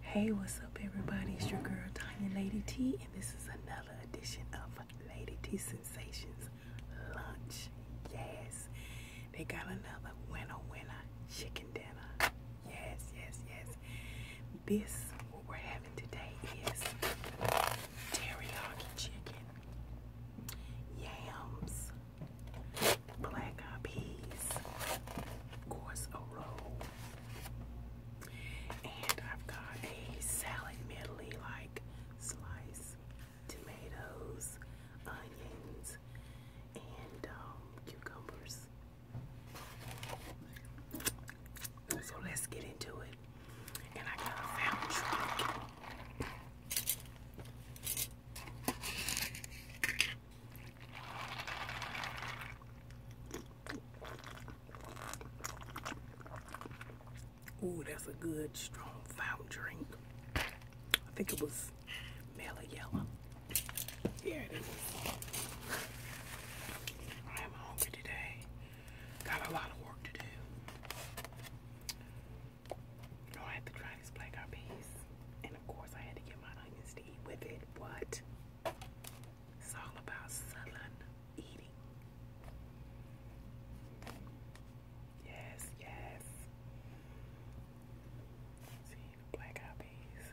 Hey, what's up, everybody? It's your girl, Tanya Lady T, and this is another edition of Lady T Sensations Lunch. Yes, they got another winner, winner chicken dinner. Yes, yes, yes. This, what we're having today, is teriyaki chicken, yams, black eyed peas, of course a roll, and I've got a salad medley like sliced tomatoes, onions, and um, cucumbers. So let's get into it. And I got a fountain Ooh, that's a good strong foul drink. I think it was mellow Here it is. I am hungry today. Got a lot of work to do. Oh, I had to try this black eyed peas. And of course I had to get my onions with it. What? It's all about sullen eating. Yes, yes. See the black eyed peas.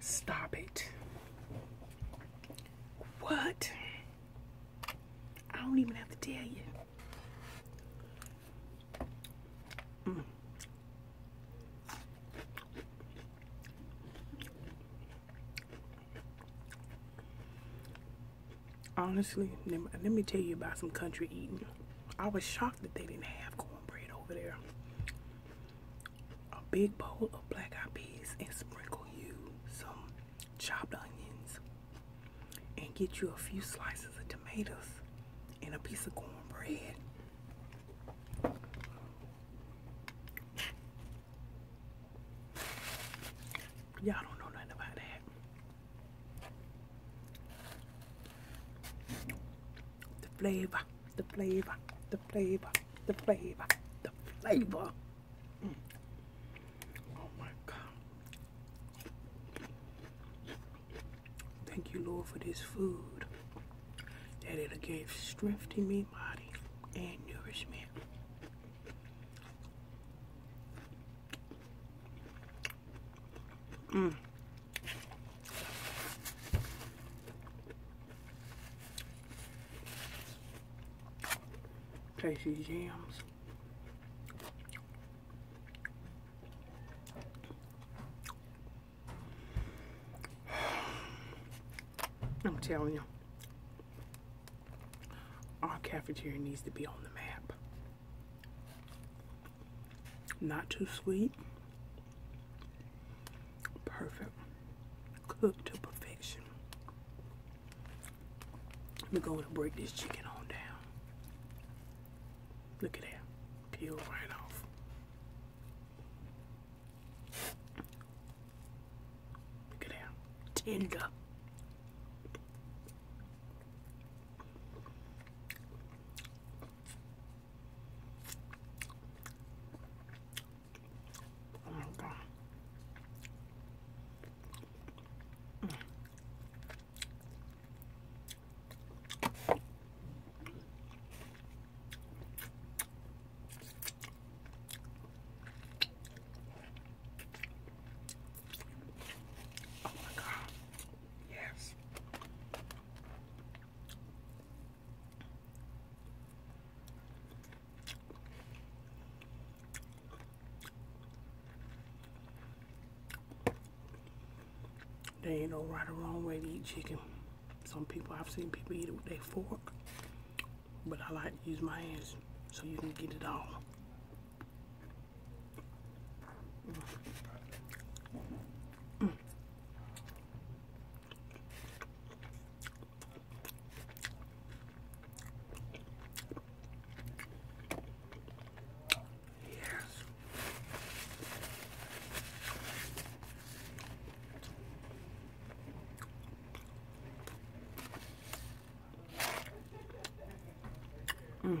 Stop it. What? I don't even have to tell you. Mm. Honestly, let me tell you about some country eating. I was shocked that they didn't have cornbread over there. A big bowl of black eyed peas and sprinkle you some chopped onions and get you a few slices of tomatoes and a piece of cornbread. Y'all don't know nothing about that the flavor, the flavor, the flavor, the flavor, the flavor. Mm. Oh my God. Thank you, Lord, for this food. That it gave strength to me body and nourishment. Mm. Tasty jams. I'm telling you, our cafeteria needs to be on the map. Not too sweet. Perfect. Cooked to perfection. Let me go to break this chicken on down. Look at that. Peel right off. Look at that. Tender. Oh my god. Oh my god. Yes. There ain't no right or wrong way to eat chicken. Some people, I've seen people eat it with their fork, but I like to use my hands so you can get it all. Mm. Yes. Mm.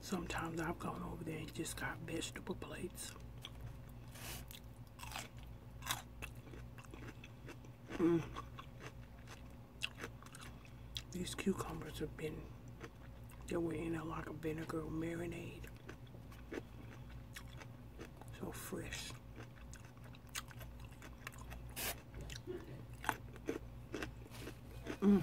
Sometimes I've gone over there and just got vegetable plates. Mm. These cucumbers have been, they were in there like a vinegar marinade. So fresh. Mm.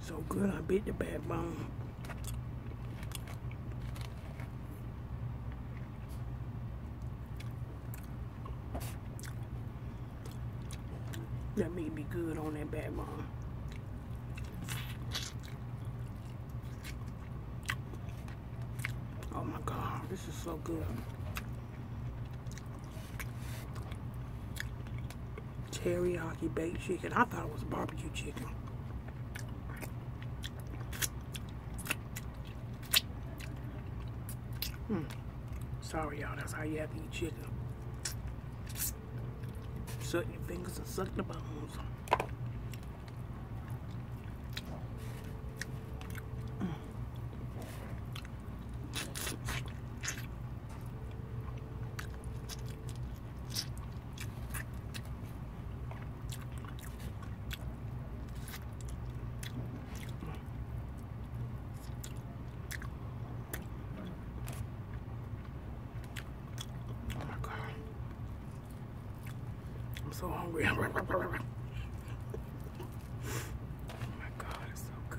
So good, I beat the backbone. That may be good on that backbone. Oh my God, this is so good teriyaki baked chicken. I thought it was barbecue chicken. Hmm. Sorry, y'all. That's how you have to eat chicken. Suck your fingers and suck the bones. Mm. I'm so hungry. oh my God, it's so good.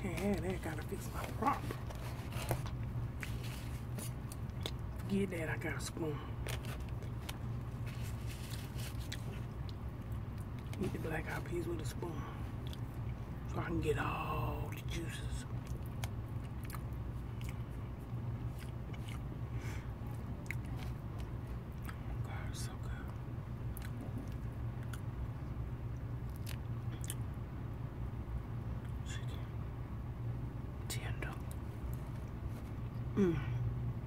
Can't Gotta fix my prop. Get that. I got a spoon. Eat the black eyed peas with a spoon so I can get all the juices. Mmm.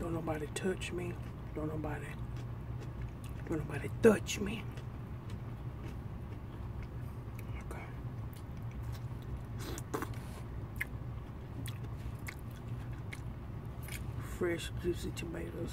Don't nobody touch me. Don't nobody don't nobody touch me. Okay. Fresh, juicy tomatoes.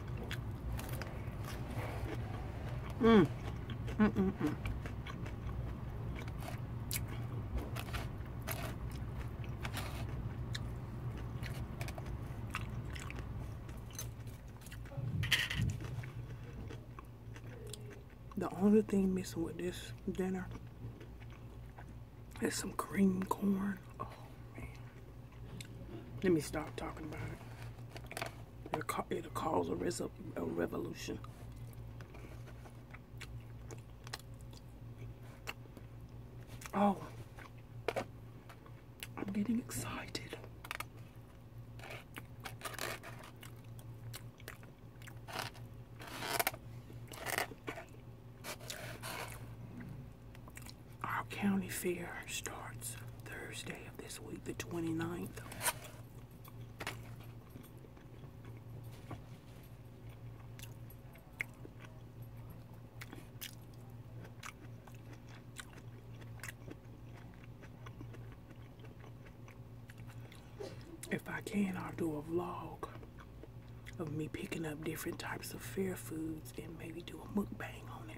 Mm. Mm -mm The only thing missing with this dinner is some cream corn. Oh, let me stop talking about it. It'll, cause a revolution. Oh, I'm getting excited. Our county fair starts Thursday of this week, the 29th. If I can, I'll do a vlog of me picking up different types of fair foods and maybe do a mukbang on it.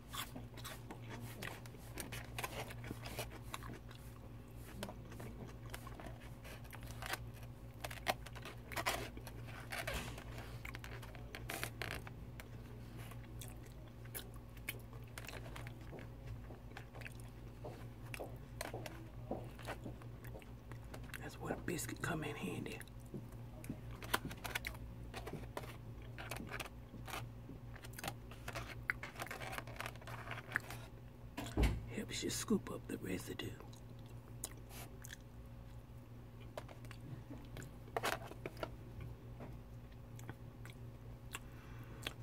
That's where a biscuit come in handy. Helps you scoop up the residue.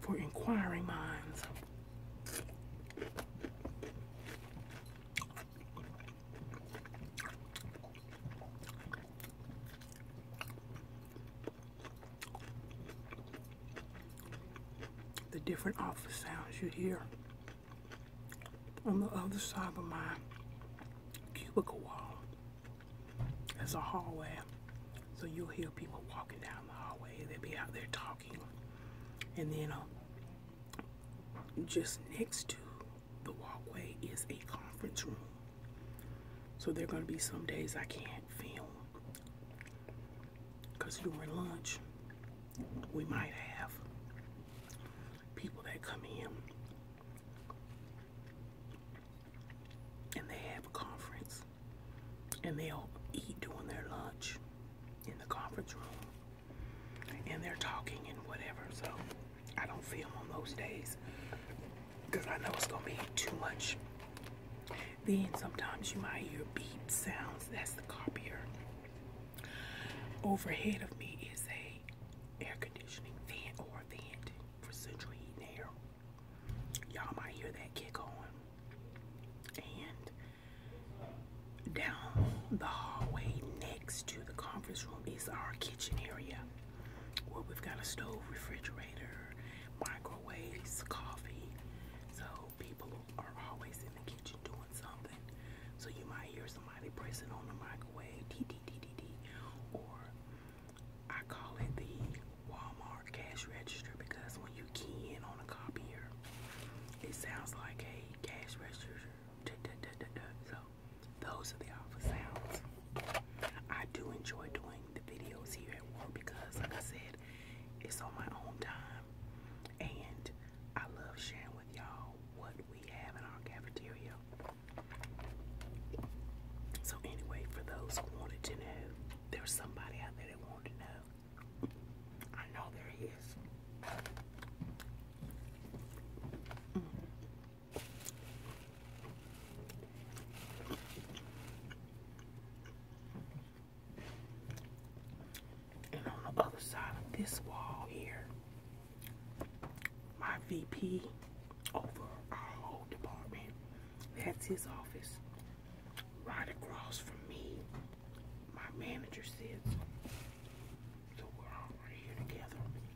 For inquiring minds the different office sounds you hear on the other side of my cubicle wall. There's a hallway, so you'll hear people walking down the hallway. They'll be out there talking. And then uh, just next to the walkway is a conference room. So there are going to be some days I can't film. Because during lunch, we might have people that come in and they have a conference and they all eat during their lunch in the conference room and they're talking and whatever. So. I don't film on those days because I know it's gonna be too much. Then sometimes you might hear beep sounds. That's the copier. Overhead of me is a air conditioning vent or a vent for central heating air. Y'all might hear that kick on. And down the hallway next to the conference room is our kitchen area. Well, we've got a stove, refrigerator, microwaves, coffee. So people are always in the kitchen doing something. So you might hear somebody pressing on the microwave, dee dee dee dee dee, or I call it the Walmart cash register because when you key in on a copier, it sounds like a cash register. Da, da, da, da, da. So those are the office sounds. I do enjoy doing the videos here at work because, like I said, it's on my own time. And I love sharing with y'all what we have in our cafeteria. So anyway, for those who wanted to know, there's somebody out there that wanted to know. I know there is. Mm. And on the other side of this wall here, my VP over our whole department, that's his office. Right across from me, my manager sits. So we're all right here together.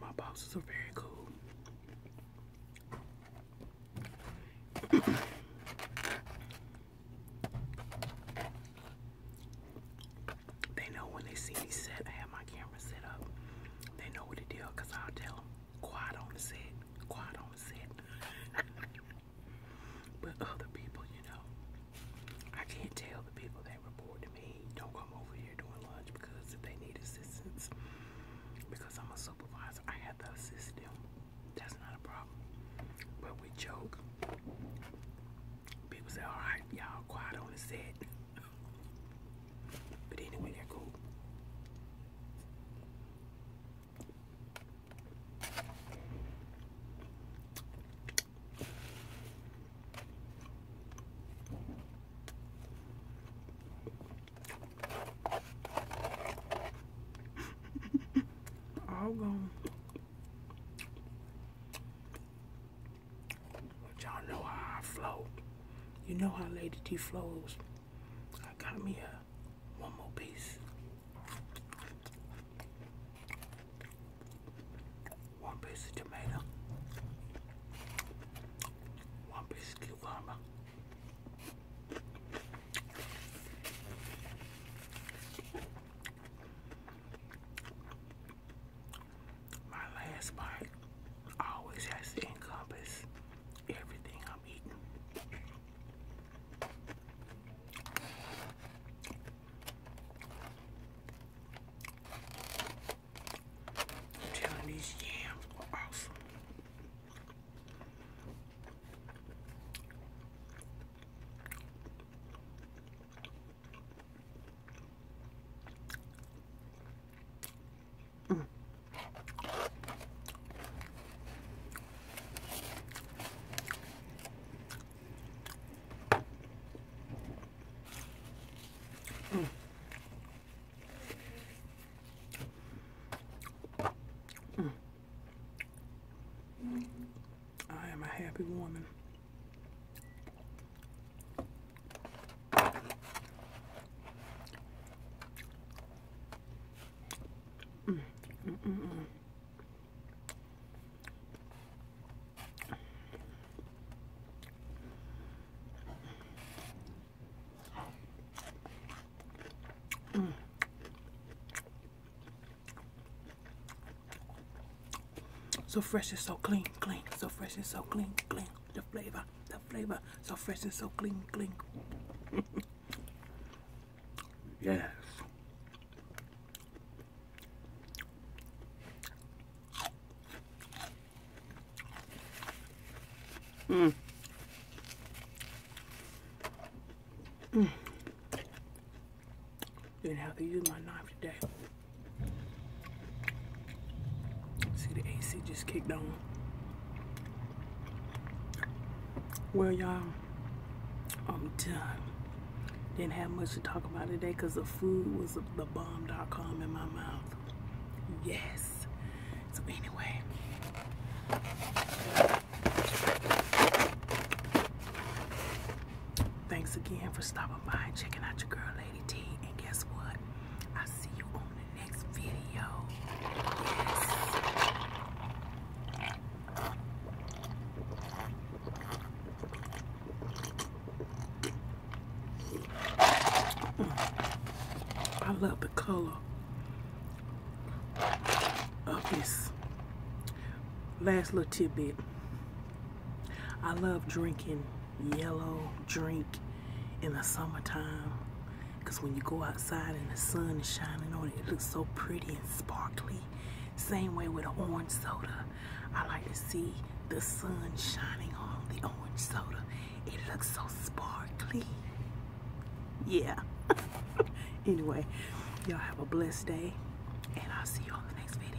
My bosses are very cool. they know when they see me set, I have my camera set up. They know what to do because i tell them. Quiet on the set. Quiet on the set. but other people, you know, I can't tell the people that report to me, don't come over here doing lunch because if they need assistance, because I'm a supervisor, I have to assist them. That's not a problem. But we joke. People say, all right, y'all quiet on the set. But anyway, they're cool. All gone. But y'all know how I flow. You know how Lady T flows. I got me a one more piece. One piece of tomato. One piece of cucumber. My last bite always has to encompass everything I'm eating. I'm telling these yams are awesome. Mm. Mm. I am a happy woman. Mm, mm, mm, So fresh and so clean, clean. So fresh and so clean, clean the flavor, the flavor, so fresh and so clean, clean. yes. Mm. Mm. Didn't have to use my knife today. See the AC just kicked on. Well, y'all, I'm done. Didn't have much to talk about today because the food was the bomb.com in my mouth. Yes. So anyway. Thanks again for stopping by and checking out your girl, Lady T. And guess what? I see you on it. I love the color of this last little tidbit. I love drinking yellow drink in the summertime because when you go outside and the sun is shining on it it looks so pretty and sparkly same way with orange soda I like to see the sun shining on the orange soda it looks so sparkly yeah anyway y'all have a blessed day and I'll see you on the next video